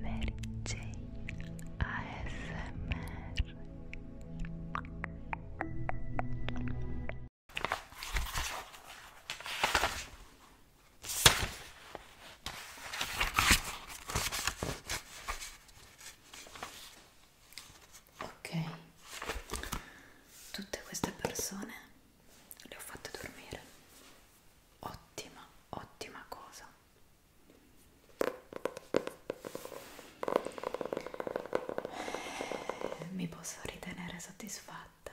Mary Jane ASMR Ok, tutte queste persone le ho fatte dormire ottima ottima cosa mi posso ritenere soddisfatta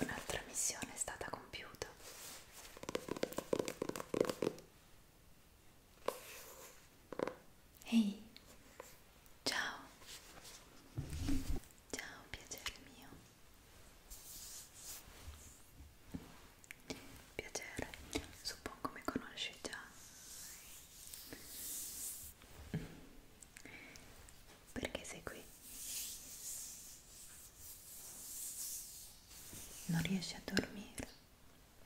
un'altra missione è stata compiuta ehi Ciao. Ciao, piacere mio. Piacere, suppongo mi conosci già. Perché sei qui? Non riesci a dormire?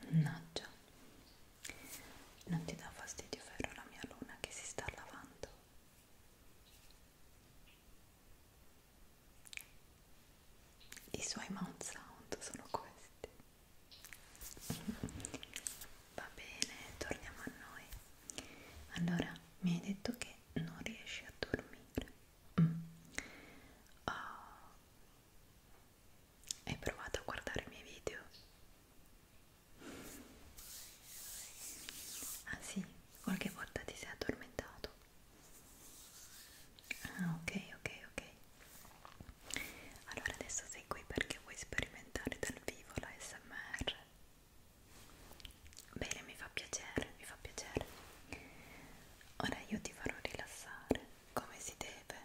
No, già. Non ti dà fastidio, ferro, la mia luna che si sta lavando. I suoi mouth sound sono questi. Va bene, torniamo a noi. Allora, mi hai detto che non riesci a dormire. Mm. Oh. Hai provato a guardare i miei video? Ah sì, qualche volta ti sei addormentato. Ah ok, ok, ok. Allora adesso sei qui perché vuoi sperimentare dal vivo la SMR. Bene, mi fa piacere, mi fa piacere. Ora io ti farò rilassare come si deve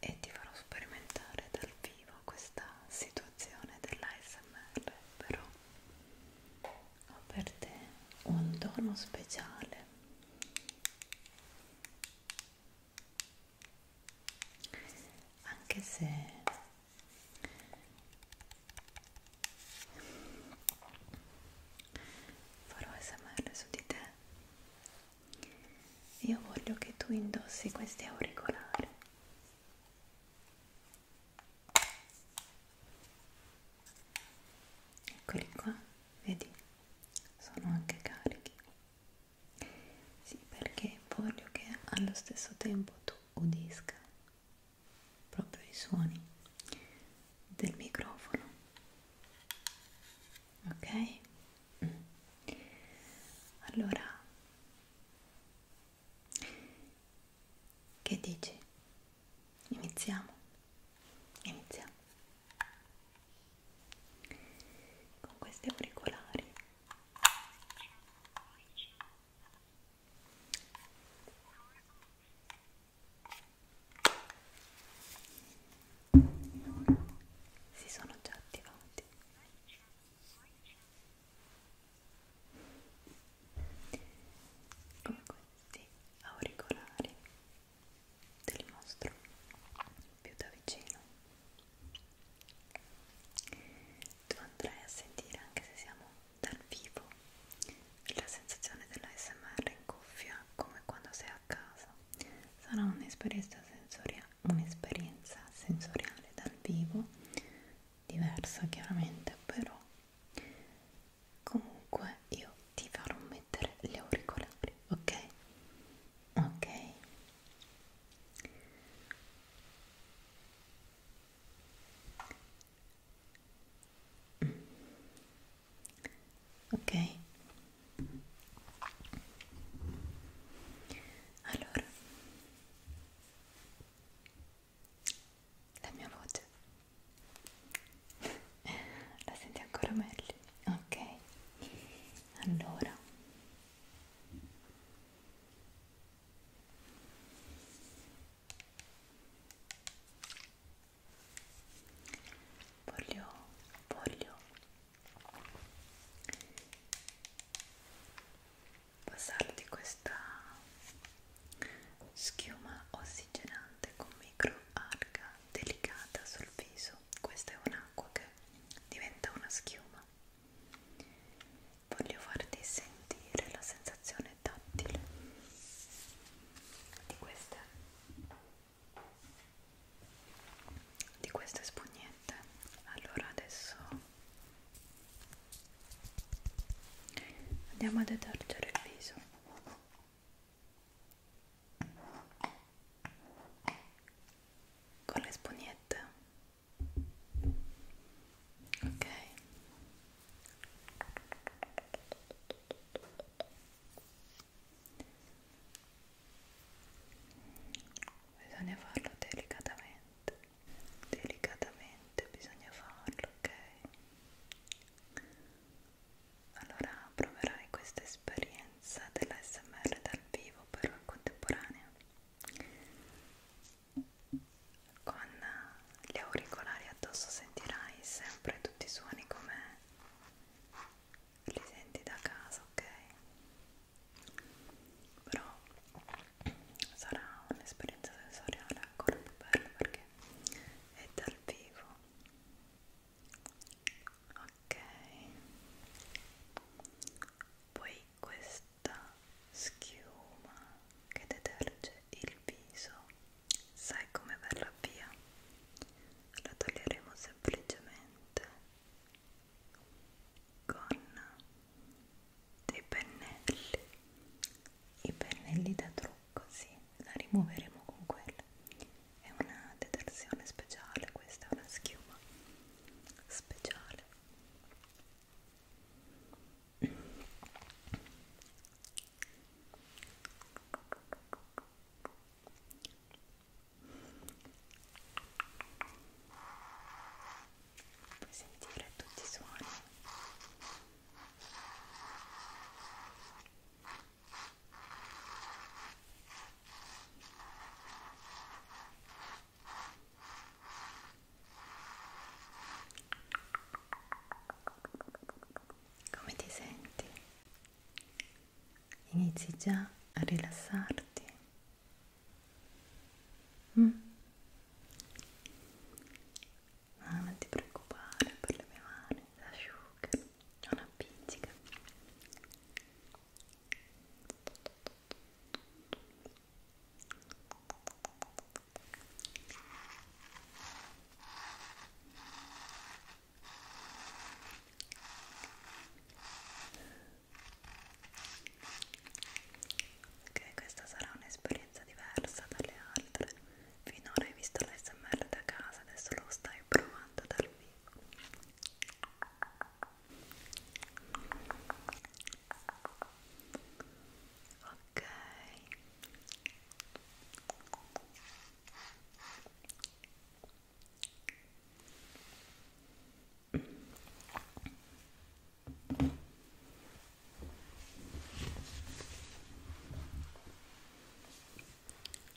e ti farò sperimentare dal arrivo a questa situazione dell'ASMR, però ho per te un dono speciale. Anche se farò ASMR su di te, io voglio che tu indossi questi auricolari eccoli qua vedi sono anche carichi sì perché voglio che allo stesso tempo tu udisca proprio i suoni del microfono ok mm. allora che dici? Iniziamo? Iniziamo. Con questi auricolari si sono già attivati come questi auricolari te li mostro più da vicino tu andrai a sentire anche se siamo dal vivo la sensazione dell'ASMR in cuffia come quando sei a casa sarà un'esperienza sensoriale un'esperienza sensoriale dal vivo diversa chiaramente però comunque io ti farò mettere gli auricolari ok ok mm. ok allora la mia voce la senti ancora meglio ok allora voglio voglio passarti questa schiuma ossigenante con microalga delicata sul viso questa è un'acqua che diventa una schiuma voglio farti sentire la sensazione tattile di queste di queste spugne niente allora adesso andiamo a detergere il viso con le spugnette ok bisogna farlo delicatamente delicatamente bisogna farlo, ok? Allora proverai questa esperienza dell'ASMR dal vivo però contemporanea con gli auricolari addosso sentirai sempre tutti i suoni come li senti da casa, ok? Però sarà un'esperienza sensoriale ancora più bella perché è dal vivo ok poi questa schiuma che deterge il viso sai come verrà via la toglieremo semplicemente con dei pennelli i pennelli da trucco sì la rimuoveremo con quella è una detersione speciale questa è una schiuma speciale puoi sentire tutti i suoni come ti senti? Inizi già a rilassarti Mm. Ah, non ti preoccupare per le mie mani, si asciugano, non appiccica. Ok, questa sarà un'esperienza diversa dalle altre. Finora hai visto l'SMR da casa, adesso lo stai provando dal vivo. Ok. Ok,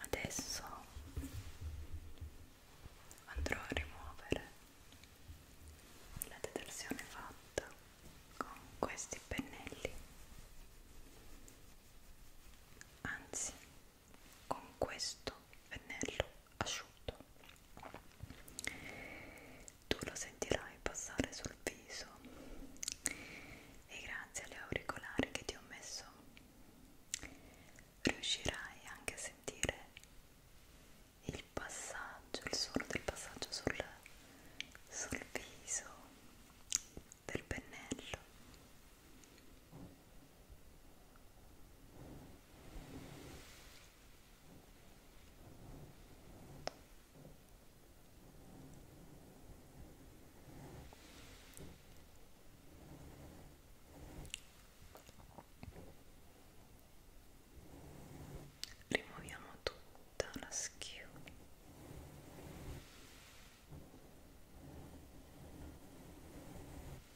Adesso andrò a rimuovere la detersione fatta con questi pennelli anzi con questo pennello asciutto tu lo sentirai passare sul viso e grazie alle auricolari che ti ho messo riuscirai anche a sentire il passaggio, il suono del passaggio sul, sul viso del pennello rimuoviamo tutta la schiuma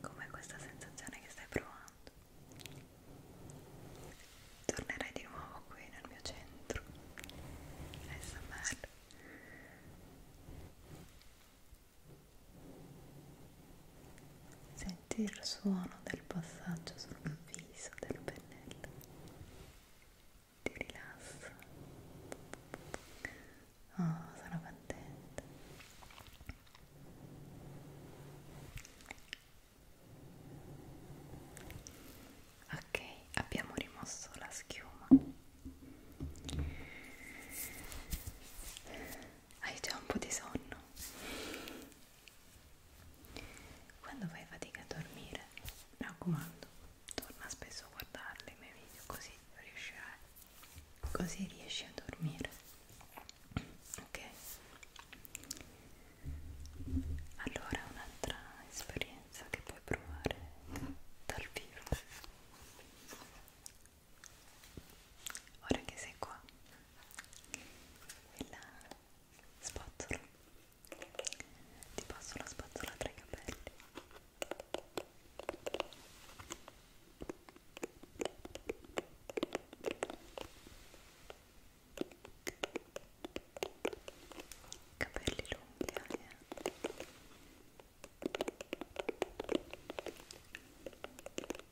Com'è questa sensazione che stai provando? Tornerai di nuovo qui nel mio centro. SMR Senti il suono del passaggio sul viso del pennello. Ti rilassa. Oh, sono contenta. Ok, abbiamo rimosso la schiuma hai già un po' di sonno. Quando fai fatica a dormire, mi raccomando, torna spesso a guardarli i miei video, così riuscirai, così riesci a dormire. Ok? Allora, un'altra esperienza che puoi provare dal vivo ora che sei qua e la spazzola ti passo la spazzola tra i capelli capelli lunghi Aria eh.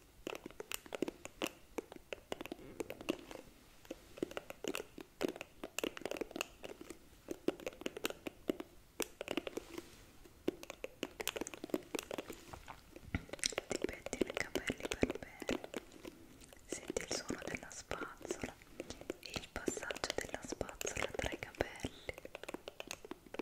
Ti pettino i capelli per bene, senti il suono della spazzola e il passaggio della spazzola tra i capelli. Ecco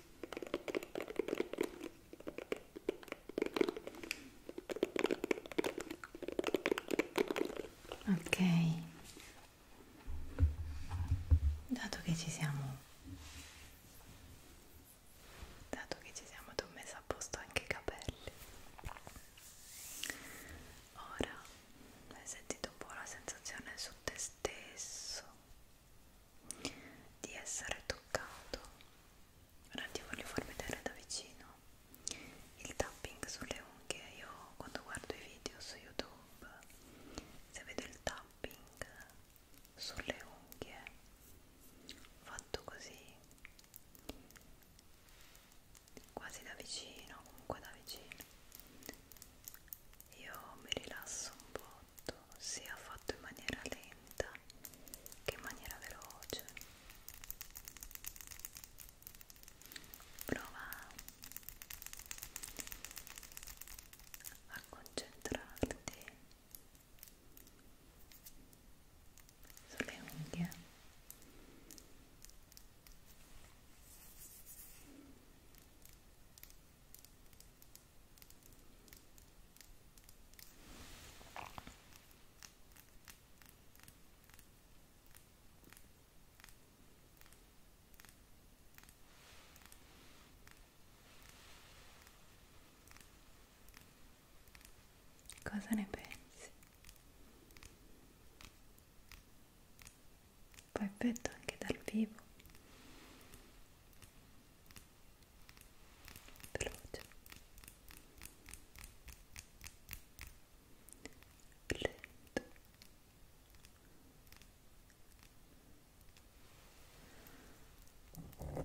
ok dato che ci siamo dato che ci siamo ti ho messo a posto anche i capelli ora hai sentito un po' la sensazione su te stesso di essere toccato ora ti voglio far vedere da vicino il tapping sulle unghie io quando guardo i video su youtube se vedo il tapping sulle unghie fatto così quasi da vicino comunque da vicino io mi rilasso un po' prodotto sia fatto in maniera lenta che in maniera veloce prova a concentrarti sulle unghie Cosa ne pensi? fa effetto anche dal vivo veloce lento Molto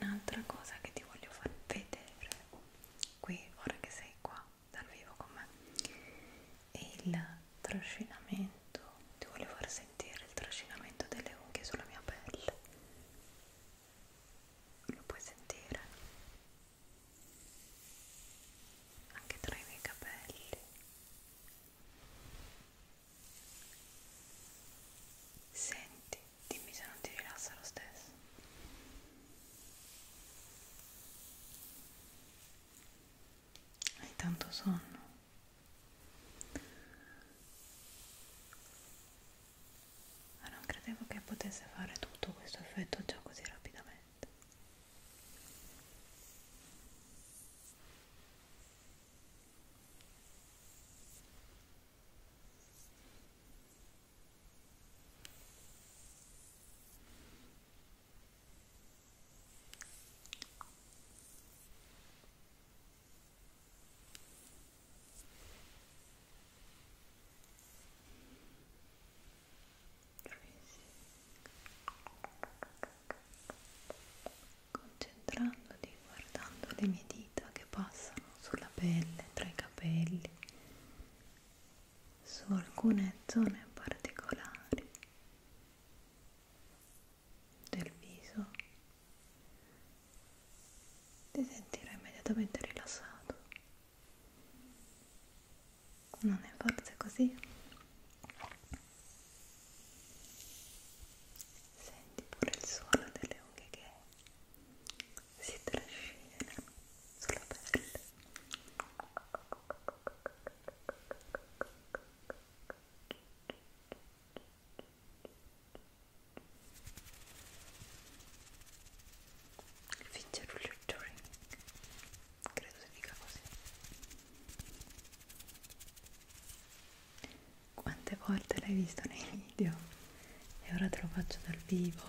Un'altra cosa che ti voglio far vedere qui ora che sei qua dal vivo con me e il trascinamento ti voglio far sentire il trascinamento delle unghie sulla mia pelle lo puoi sentire anche tra i miei capelli senti Dimmi se non ti rilassa lo stesso. Hai tanto sonno. Ma non credevo che potesse fare tutto questo effetto già così rapidamente. Concentrandoti guardando le mie dita che passano sulla pelle, tra i capelli, su alcune zone particolari del viso ti sentirai immediatamente rilassato non è forse così? senti pure il suono delle unghie che si trascinano sulla pelle Fingerullo Turing credo si dica così quante volte l'hai visto nei video? e ora te lo faccio dal vivo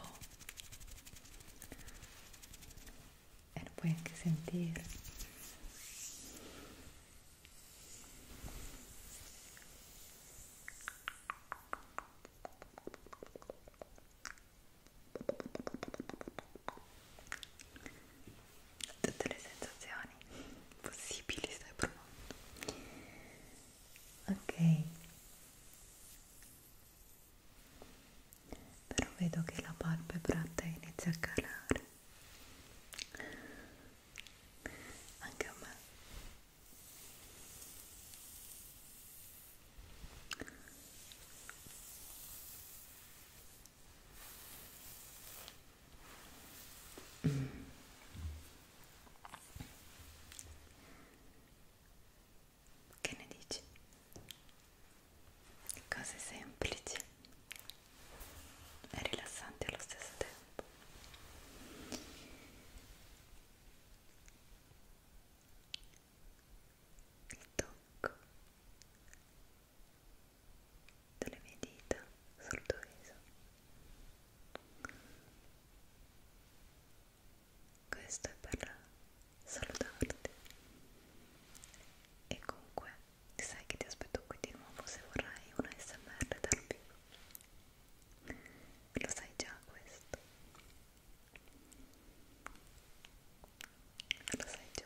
e lo puoi anche sentire tutte le sensazioni possibili stai provando ok però vedo che la palpebra te inizia a calare anche a me Mm. Che ne dici? Cose semplici e rilassanti allo stesso tempo. Il tocco delle mie dita sul tuo viso questo è per salutarti e comunque sai che ti aspetto qui di nuovo se vorrai una smr dal vivo lo sai già questo lo sai già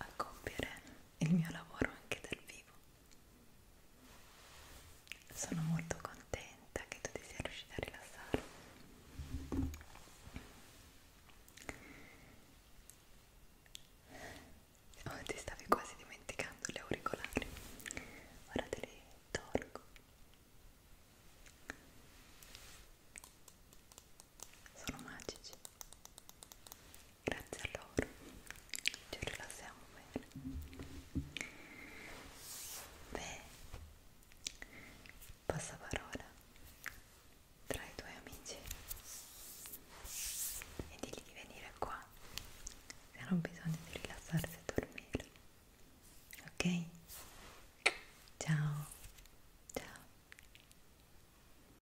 a compiere il mio lavoro anche dal vivo. Sono molto contenta che tu ti sia riuscita a rilassare. Oh, ti stavi quasi dimenticando gli auricolari. Ora te li tolgo. Sono magici grazie a loro ci rilassiamo bene beh passaparola tra i tuoi amici e digli di venire qua se hanno bisogno di rilassarsi e dormire ok ciao ciao